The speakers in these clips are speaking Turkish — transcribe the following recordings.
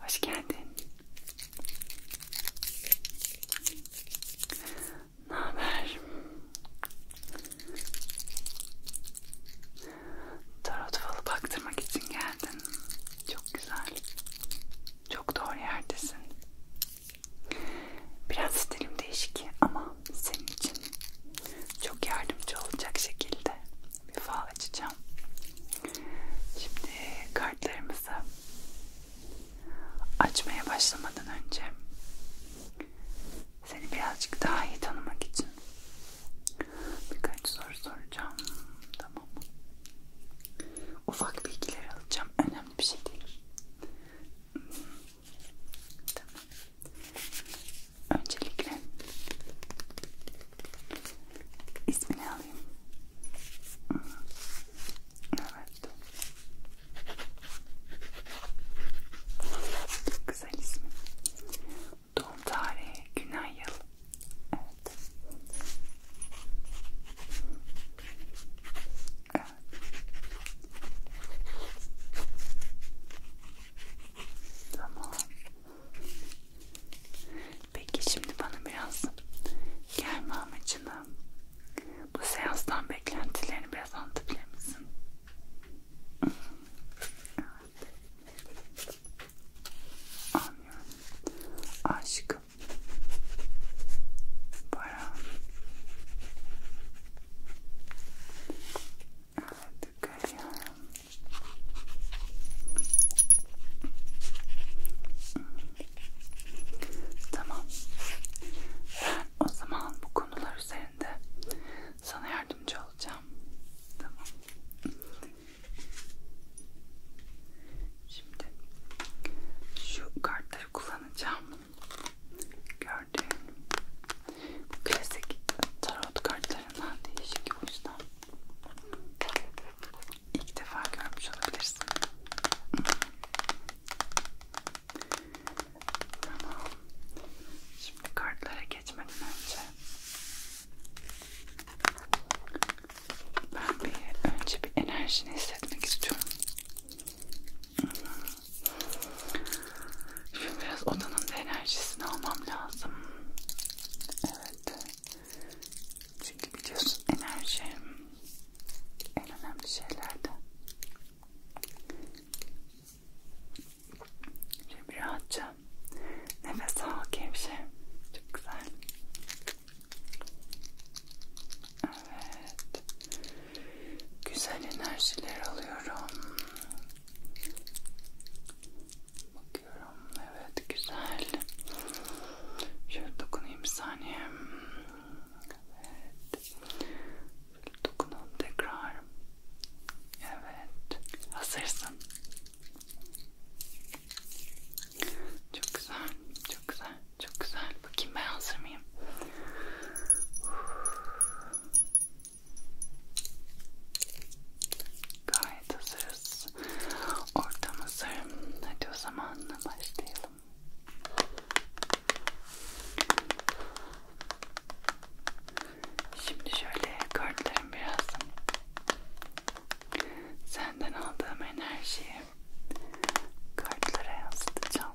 Hoş geldin. Ne haber? Tarot falı baktırmak için geldin. Çok güzel. Çok doğru yerdesin. Biraz stilim değişik ama senin için çok yardımcı olacak şekilde bir fal açacağım. Şimdi kartlarımızı açmaya başlamadan önce seni birazcık daha iyi tanımak için birkaç soru soracağım. Tamam mı? Ufak bilgiler alacağım. Önemli bir şey değil. Tamam öncelikle ismini alayım. Evet. Çok güzel ismi. Doğum tarihi, gün, ay, yıl. Evet. Evet. Tamam. Peki şimdi bana biraz gelme amacını, bu seanstan beklentilerini biraz anlatabilir misin? Evet. Anlıyorum. Aşk, para, Artık ayağım Tamam ben o zaman bu konular üzerinde sana yardımcı olacağım Tamam Şimdi şu kartları kullanacağım gördüğün bu klasik tarot kartlarından değişik o yüzden ilk defa görmüş olabilirsin. Tamam. Şimdi kartlara geçmeden önce ben bir önce bir enerjini hissetmek istiyorum. Şimdi biraz odanın da enerjisini almam lazım. Evet. Çünkü biliyorsun enerji en önemli şeylerden. Şimdi rahatça nefes al gevşe. Çok güzel. Evet. Güzel enerjiler alıyorum. Bakıyorum. Evet güzel. Şöyle dokunayım bir saniye. Evet. Şöyle dokunalım tekrar. Evet. Hazırsın. Çok güzel. Çok güzel. Çok güzel. Bakayım ben hazır mıyım? Gayet hazırız. Ortam hazır. Hadi o zaman başlayalım. Şimdi şöyle kartlarım biraz senden aldığım enerjiyi kartlara yansıtacağım.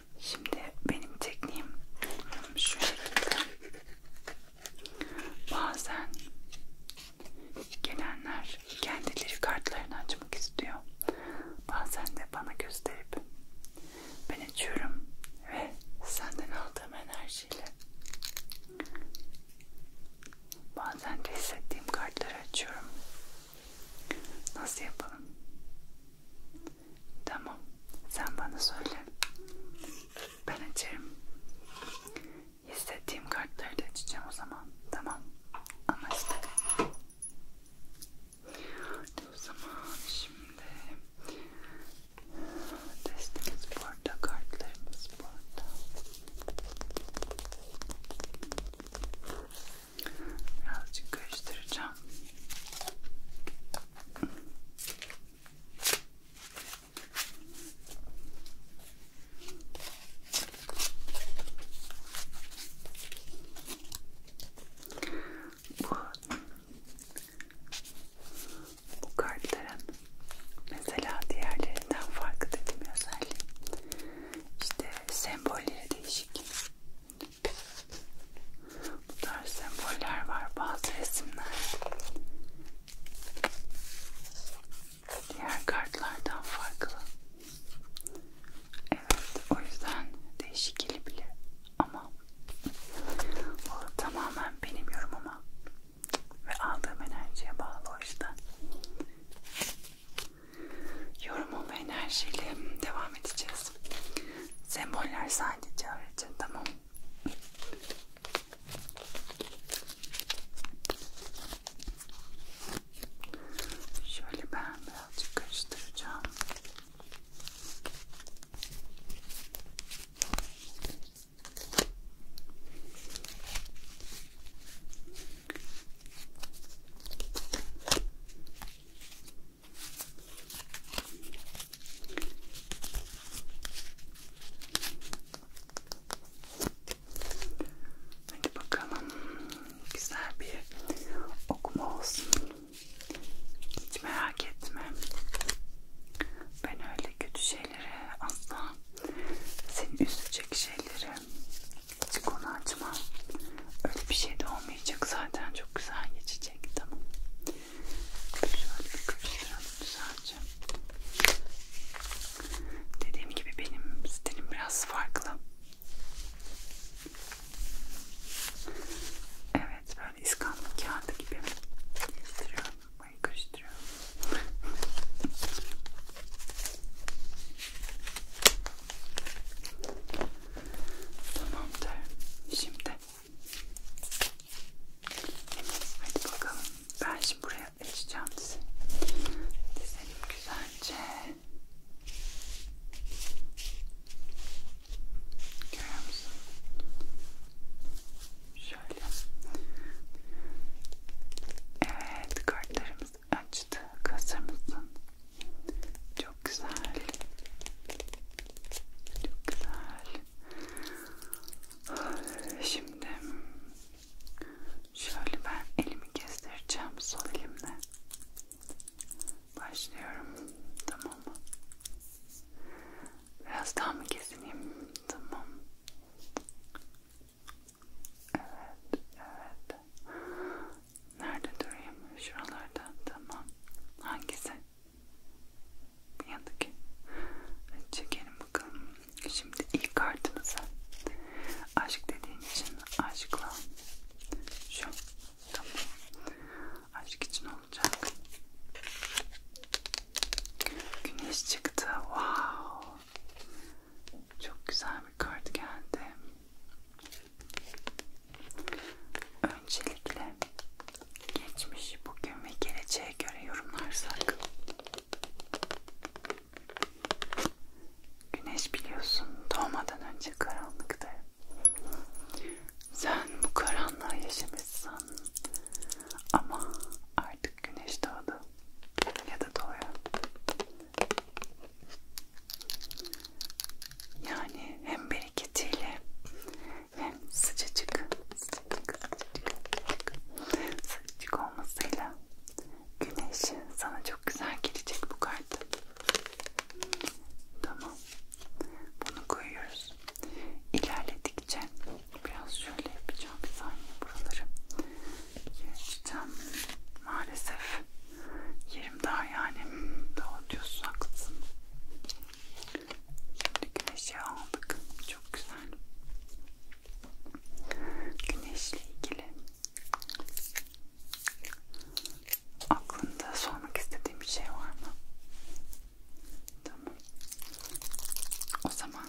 Şimdi benim tekniğim şu şekilde. Bazen gelenler kendileri kartlarını açmak istiyor. Bazen de bana gösterip ben açıyorum ve senden aldığım enerjiyle bazen de hissettiğim kartları açıyorum. Nasıl yapalım? Tamam. Sen bana söyle. Ben açarım. Hissettiğim kartları da açacağım o zaman. Tamam. Anlaştık. Hadi o zaman şimdi testimiz burada, kartlarımız burada. Birazcık karıştıracağım. Bu, bu kartların mesela diğerlerinden farklı dediğim özelliği işte sembolleri değişik bu tarz semboller var bazı resimler. Diğer kartlardan farklı. Evet, o yüzden değişik gelebilir ama bu tamamen benim yorumuma ve aldığım enerjiye bağlı o yüzden. Yorumum ve enerjiyle devam edeceğiz lazım. Semboller sadece öğretir. Tamam. Şöyle ben birazcık karıştıracağım. Hadi bakalım güzel bir okuma olsun. Hiç merak etme. Ben öyle kötü şeylere asla seni üzecek şeylere hiç konu açmam. Öyle bir şey de olmayacak zaten çok güzel geçecek geçecek tamam. Şöyle bir karıştıralım güzelce. Dediğim gibi benim stilim biraz farklı. Evet böyle iskambil kağıdı gibi karıştırıyorum. Mayı karıştırıyorum. Tamamdır. Şimdi hadi bakalım. Ben şimdi buraya açacağım sizi. Dizelim güzelce. Görüyor musun? Şöyle. Evet kartlarımız açtı. Hazır mısın? Çok güzel. Çok güzel. Şimdi şöyle ben elimi kestireceğim sol elimle. Başlıyorum. Tamam mı? Biraz daha mı kesineyim? Tamam. Evet, evet. Nerede durayım? Şuralarda. Tamam. Hangisi? Bir yandaki. Çekelim bakalım. Şimdi ilk kartımıza. Aşk dediğin için aşkla. Şu. Tamam. Aşk için olacak. Güneş çıktı. Wow. Çok güzel bir kart geldi. Öncelikle geçmişi bugün ve geleceğe göre yorumlarsak Güneş biliyorsun doğmadan önce karanlıktı. Sen bu karanlığa yaşamışsın ama artık güneş doğdu ya da doğuyor yani hem bereketiyle hem sıcacık, sıcacık, sıcacık, sıcacık olmasıyla güneş sana çok güzel gelecek bu kart. Tamam. Bunu koyuyoruz. İlerledikçe biraz şöyle yapacağım bir saniye buraları. Geçeceğim. Maalesef yerim dar yani. Doğru diyorsun, haklısın. Şimdi güneşi aldık. Çok güzel. Güneşle ilgili aklında sormak istediğim bir şey var mı? Tamam. O zaman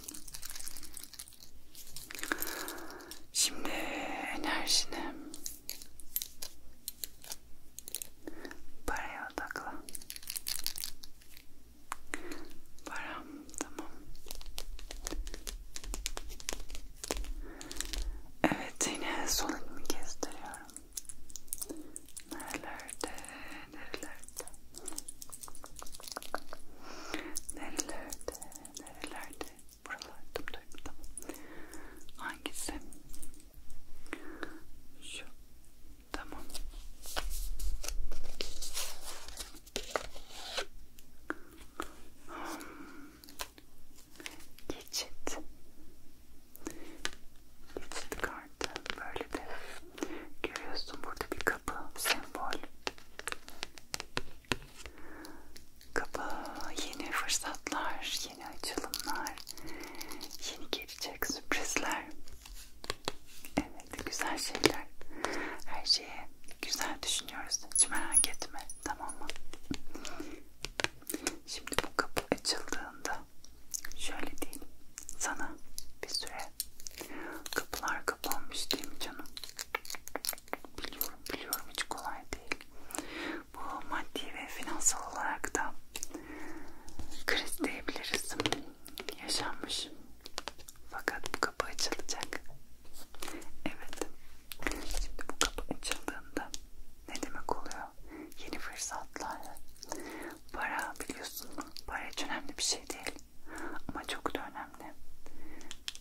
şimdi enerjini Paraya odaklan. Param tamam. Evet yine sol elimi kestiriyorum. Nerelerde, nerelerde, nerelerde, nerelerde. Buralardım duydum. Hangisi? Şu. Tamam. Geçit. Geçit kartı. Böyle de görüyorsun burada bir kapı sembol kapı, yeni fırsatlar, yeni açılımlar, yeni gelecek sürprizler. Evet, güzel şeyler. Her şeye güzel düşünüyoruz. Hiç merak etme, tamam mı? Şimdi bu kapı açıldığında şöyle diyeyim sana bir süre kapılar kapanmış değil mi canım? Biliyorum biliyorum hiç kolay değil bu maddi ve finansal olarak da kriz diyebiliriz yaşanmış fakat bu kapı açılacak evet şimdi bu kapı açıldığında ne demek oluyor yeni fırsatlar para biliyorsun para hiç önemli bir şey değil ama çok da önemli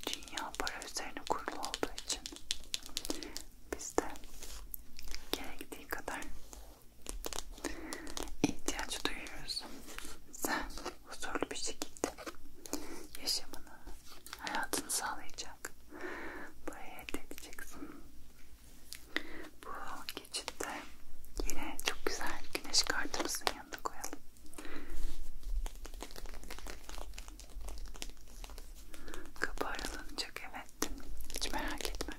dünya para üzerine kurulu olduğu için biz de gerektiği kadar ihtiyaç duyuyoruz. Sen huzurlu bir şekilde yaşamını, hayatını sağlayacak, buraya elde edeceksin. Bu geçitte yine çok güzel güneş kartımızın yanına koyalım. Kapı aralanacak evet. Hiç merak etme.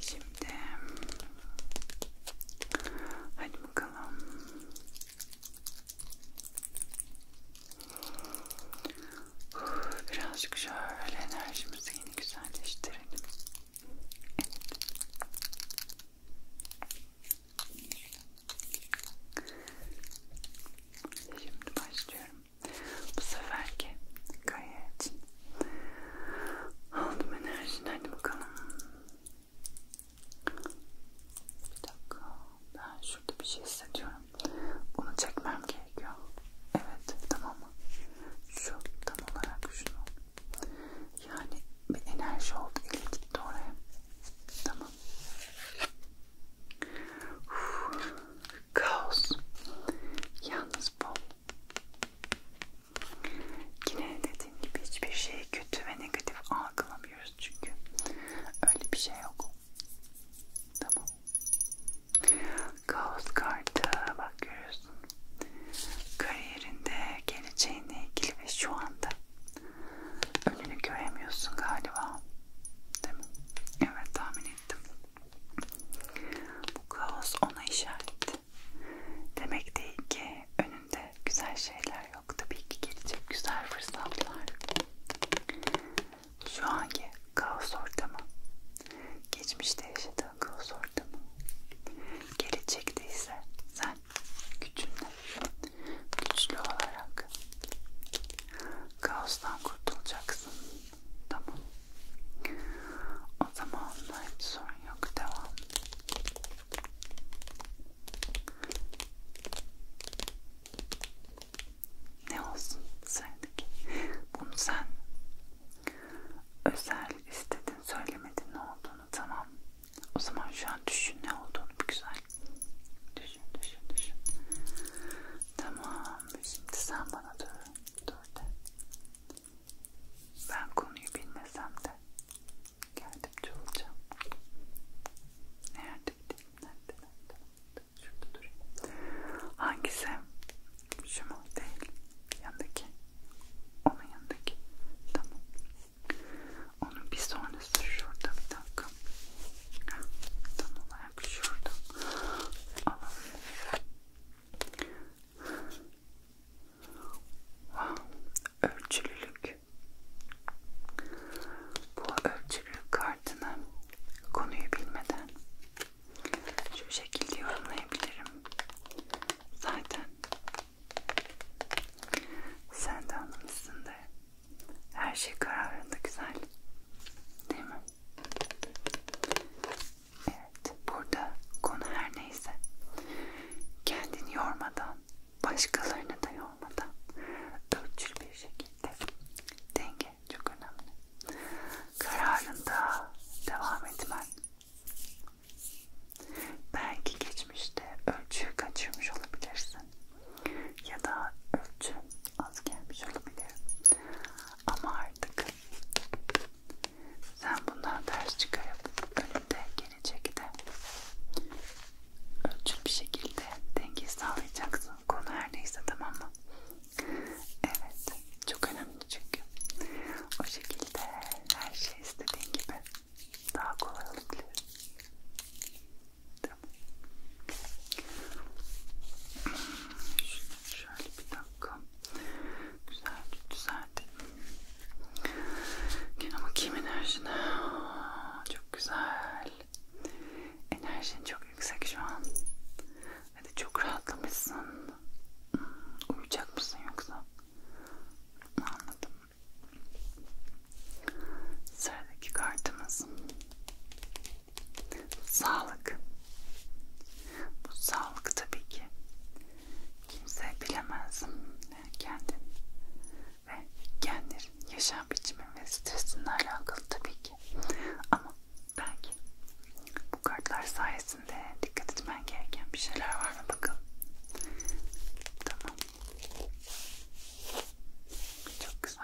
Şimdi hadi bakalım. Birazcık şöyle enerjimizi yine güzelleştirelim. Evet. Şimdi başlıyorum. Bu seferki kaya için aldım enerjini. Hadi bakalım. Bir dakika. Ben şurada bir şey hissediyorum. Bunu çekmem gerekiyor. Evet. Tamam mı? Şu tam olarak şunu. Yani bir enerji oldu. Eli gitti oraya. Tamam. Uf, kaos. Yalnız bu. Yine dediğim gibi hiçbir şeyi kötü ve negatif algılamıyoruz çünkü. Öyle bir şey yok. Tamam. Kaos kartı bak görüyorsun. Kariyerinde, geleceğinle ilgili ve şu anda önünü göremiyorsun galiba. Değil mi? Evet tahmin ettim. Bu kaos ona işaret. Demek değil ki önünde güzel şeyler yok. Tabii ki gelecek güzel fırsatlar. Şu anki kaos ortamı, geçmişte yaşadığın kaos ortamı, gelecekte ise sen gücünle güçlü olarak kaostan kurtulacaksın. Tamam. O zaman hiç sorun yok. Devam. Ne olsun sendeki? Bunu sen özel istedin, söylemedin ne olduğunu tamam. O zaman şu an düşün ne olduğunu bir güzel. Düşün, düşün, düşün. Tamam. Şimdi sen bana dur. Dur de. Ben konuyu bilmesem de yardımcı olacağım. Ne yardımcı? Nerede? Nerede? nerede? Şurada durayım. Hangisi? Şu mu? Değil. Yanındaki. Onun yanındaki. Tamam. Onun bir sonrası şurada bir dakika. Tam olarak şurada. Alalım. Wow. Ölçülülük. Bu ölçülülük kartını konuyu bilmeden şu şekilde yorumlayabilirim. Zaten sen de anlamışsın da her şey kararında güzel. Değil mi? Evet. Burada konu her neyse. Kendini yormadan, başkalarını da yormadan ölçülü bir şekilde denge çok önemli. Kararında devam etmen Belki geçmişte ölçüyü kaçırmış olabilirsin ya da ölçü az gelmiş olabilir. Ama artık sen bundan ders çıkarıp önünde gelecekte ölçülü bir şekilde dengeyi sağlayacaksın. Konu her neyse tamam mı? Evet. Çok önemli çünkü. O şekilde her şey istediğin gibi daha kolay olabilir. Tamam. Şunu şöyle bir dakika. Güzel düzeltelim. Yine bakayım enerjine. Çok güzel. Enerjin çok yüksek şu an. Hadi çok rahatlamışsın. Hmm, uyuyacak mısın yoksa? Anladım. Sıradaki kartımız sağlık. Bu sağlık tabii ki kimse bilemez. Yani kendin ve kendin yaşam biçimi ve stresinle alakalı tabii ki. Ama belki bu kartlar sayesinde dikkat etmen gereken bir şeyler var mı bakalım. Tamam. Çok güzel.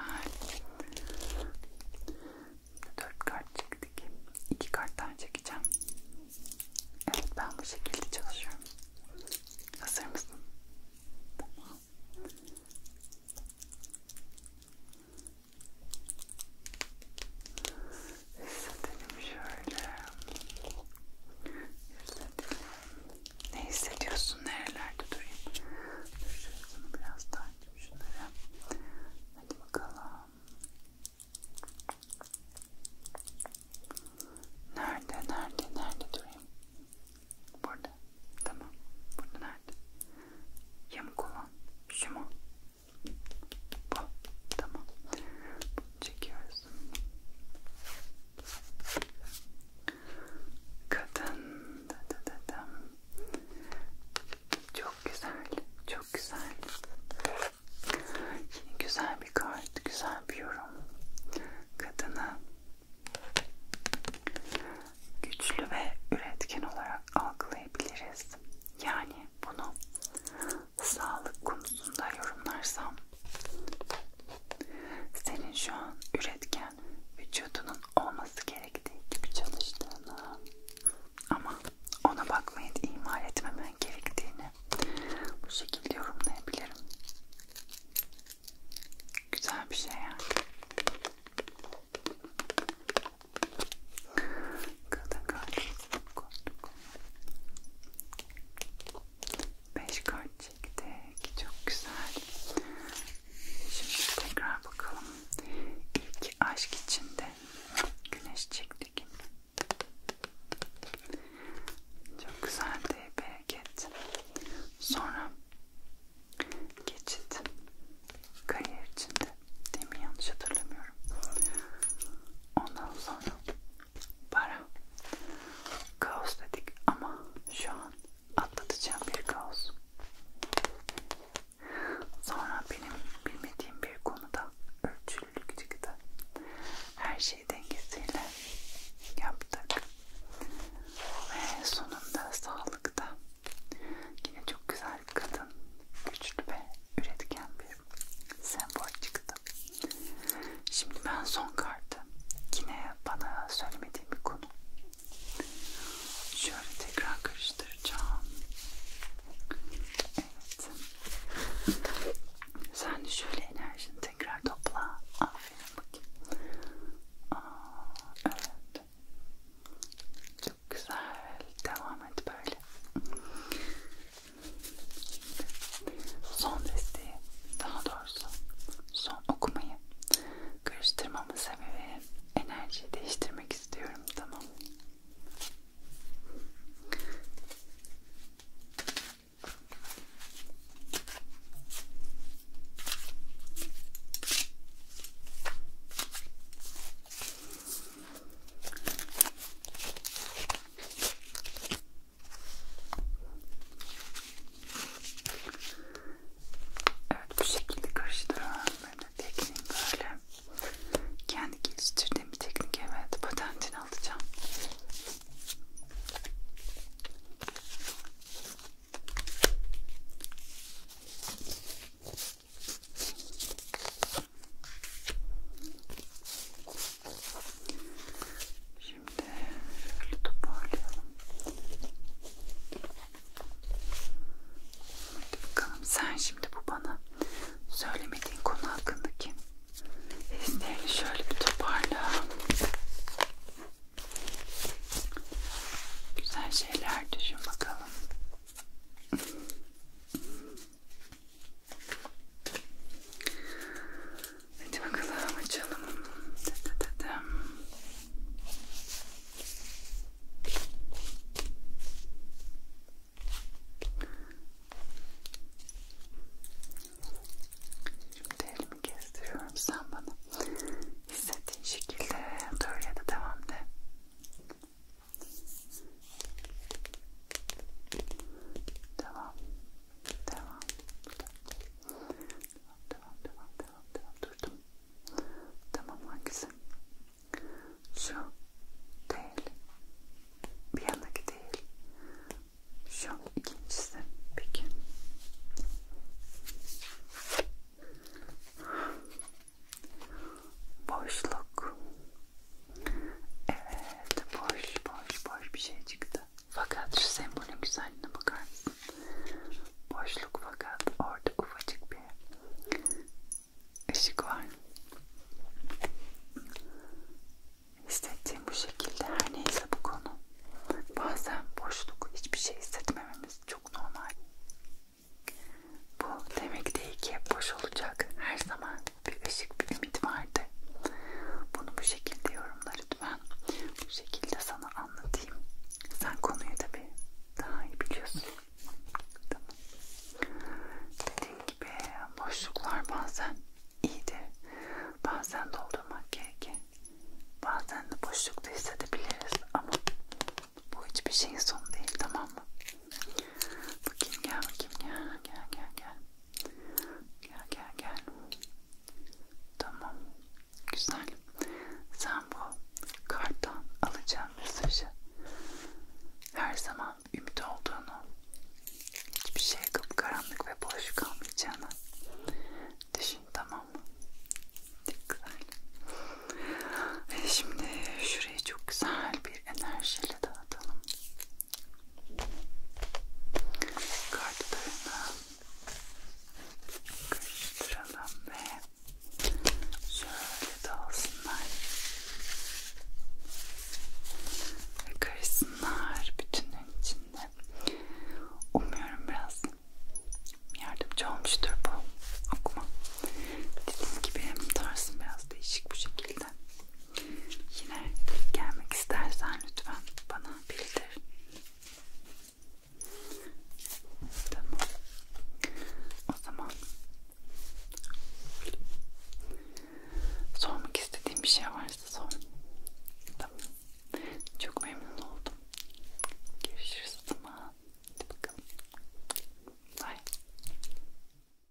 Dört kart çektik. İki kart daha çekeceğim. Evet ben bu şekilde çalışıyorum. Hazır mısın? Tamam. Hissedelim şöyle. Hissedelim. Ne hissediyorsun? Nerelerde durayım? Dur şurasını biraz daha açayım şunları. Hadi bakalım. Nerede? Nerede? Nerede durayım? Burada. Tamam. Burada nerede? Yamuk olan. Şu mu? Bu. Tamam. Bunu çekiyoruz. Kadın. Çok güzel. Çok güzel. Yine güzel bir kart. Güzel bir yorum. Kadını güçlü ve üretken olarak algılayabiliriz. Yani bunu sağlık konusunda yorumlarsam senin şu an üretken vücudunun olması gerektiği gibi çalıştığını ama ona bakmayı ihmal etmemen gerektiğini bu şekilde yorumlayabilirim. Güzel bir şey yani. Kadın kardeşim, 5 kart çektik. Çok güzel. Şimdi tekrar bakalım. İlk aşk içinde güneş çektik. Çok güzel de bereket. Sonra geçit. Kariyer içinde. Değil mi? Yanlış hatırlamıyorum. Ondan sonra para kaos dedik ama şu an atlatacağım bir kaos sonra benim bilmediğim bir konuda ölçülülük çıktı her şey dengesiyle yaptık ve sonunda sağlıkta yine çok güzel kadın güçlü ve üretken bir sembol çıktı Şimdi ben son kartı. Yine bana söylemediğim bir konu. Şöyle tekrar karıştıracağım. Evet. Sen de şöyle enerjini tekrar topla. Aferin bakayım. Aa, evet. Çok güzel. Devam et böyle. Son desteği, daha doğrusu son okumayı karıştırmamın sebebi enerjiyi değiştirmek istiyorum. Tamam. Evet bu şekilde karıştırıyorum ben de tekniğim böyle. Kendi geliştirdiğim bir teknik evet patentini alacağım. Şimdi şöyle toparlayalım. Hadi bakalım sen şimdi bu bana söylemediğin konu hakkındaki hislerini şöyle bir toparla. Güzel şeyler düşün bakalım. Hadi bakalım açalım. Şimdi elimi gezdiriyorum sen bana hissettiğin şekilde dur ya da devam de. Devam. Devam. Devam, devam, devam, devam. Durdum. Tamam hangisi? Şu değil. Bir yanındaki değil. Şu ikincisi. Peki. Boşluk. Evet, boş boş boş bir şey çıktı. Fakat şu sembolün güzelliğine bakar mısın? Boşluk fakat orada ufacık bir ışık var. Hissettiğim bu şekilde her neyse bu konu. Bazen boşluk hiçbir şey hissetmememiz çok normal. Bu demek değil ki boş olacak her zaman bir ışık, bir ümit vardı. Bunu bu şekilde yorumla lütfen. Bu şekilde sana anlatayım. Sen konuyu tabii daha iyi biliyorsun. Tamam. Dediğim gibi boşluklar bazen iyidir. Bazen doldurmak gerekir. Bazen de boşlukta hissedebiliriz ama bu hiçbir şeyin sonu değil tamam mı? Bakayım gel bakayım gel gel gel gel. Gel gel gel. Tamam. Güzel. Sen bu karttan alacağın mesajı her zaman ümit olduğunu, hiçbir şey karanlık ve boş kalmayacağını düşün tamam mı? Güzel. Ve şimdi şurayı çok güzel bir enerjiyle dağıtalım kartlarını karıştıralım ve şöyle dağılsınlar ve karışsınlar bütünün içinde. Umuyorum biraz yardımcı olmuştur bu okuma. Dediğim gibi tarzım biraz değişik bu şekilde. Yine gelmek istersen lütfen bana bildir. Tamam. O zaman sormak istediğim bir şey varsa sor. Tamam. Çok memnun oldum. Görüşürüz. Tamam. Hadi bakalım. Bye.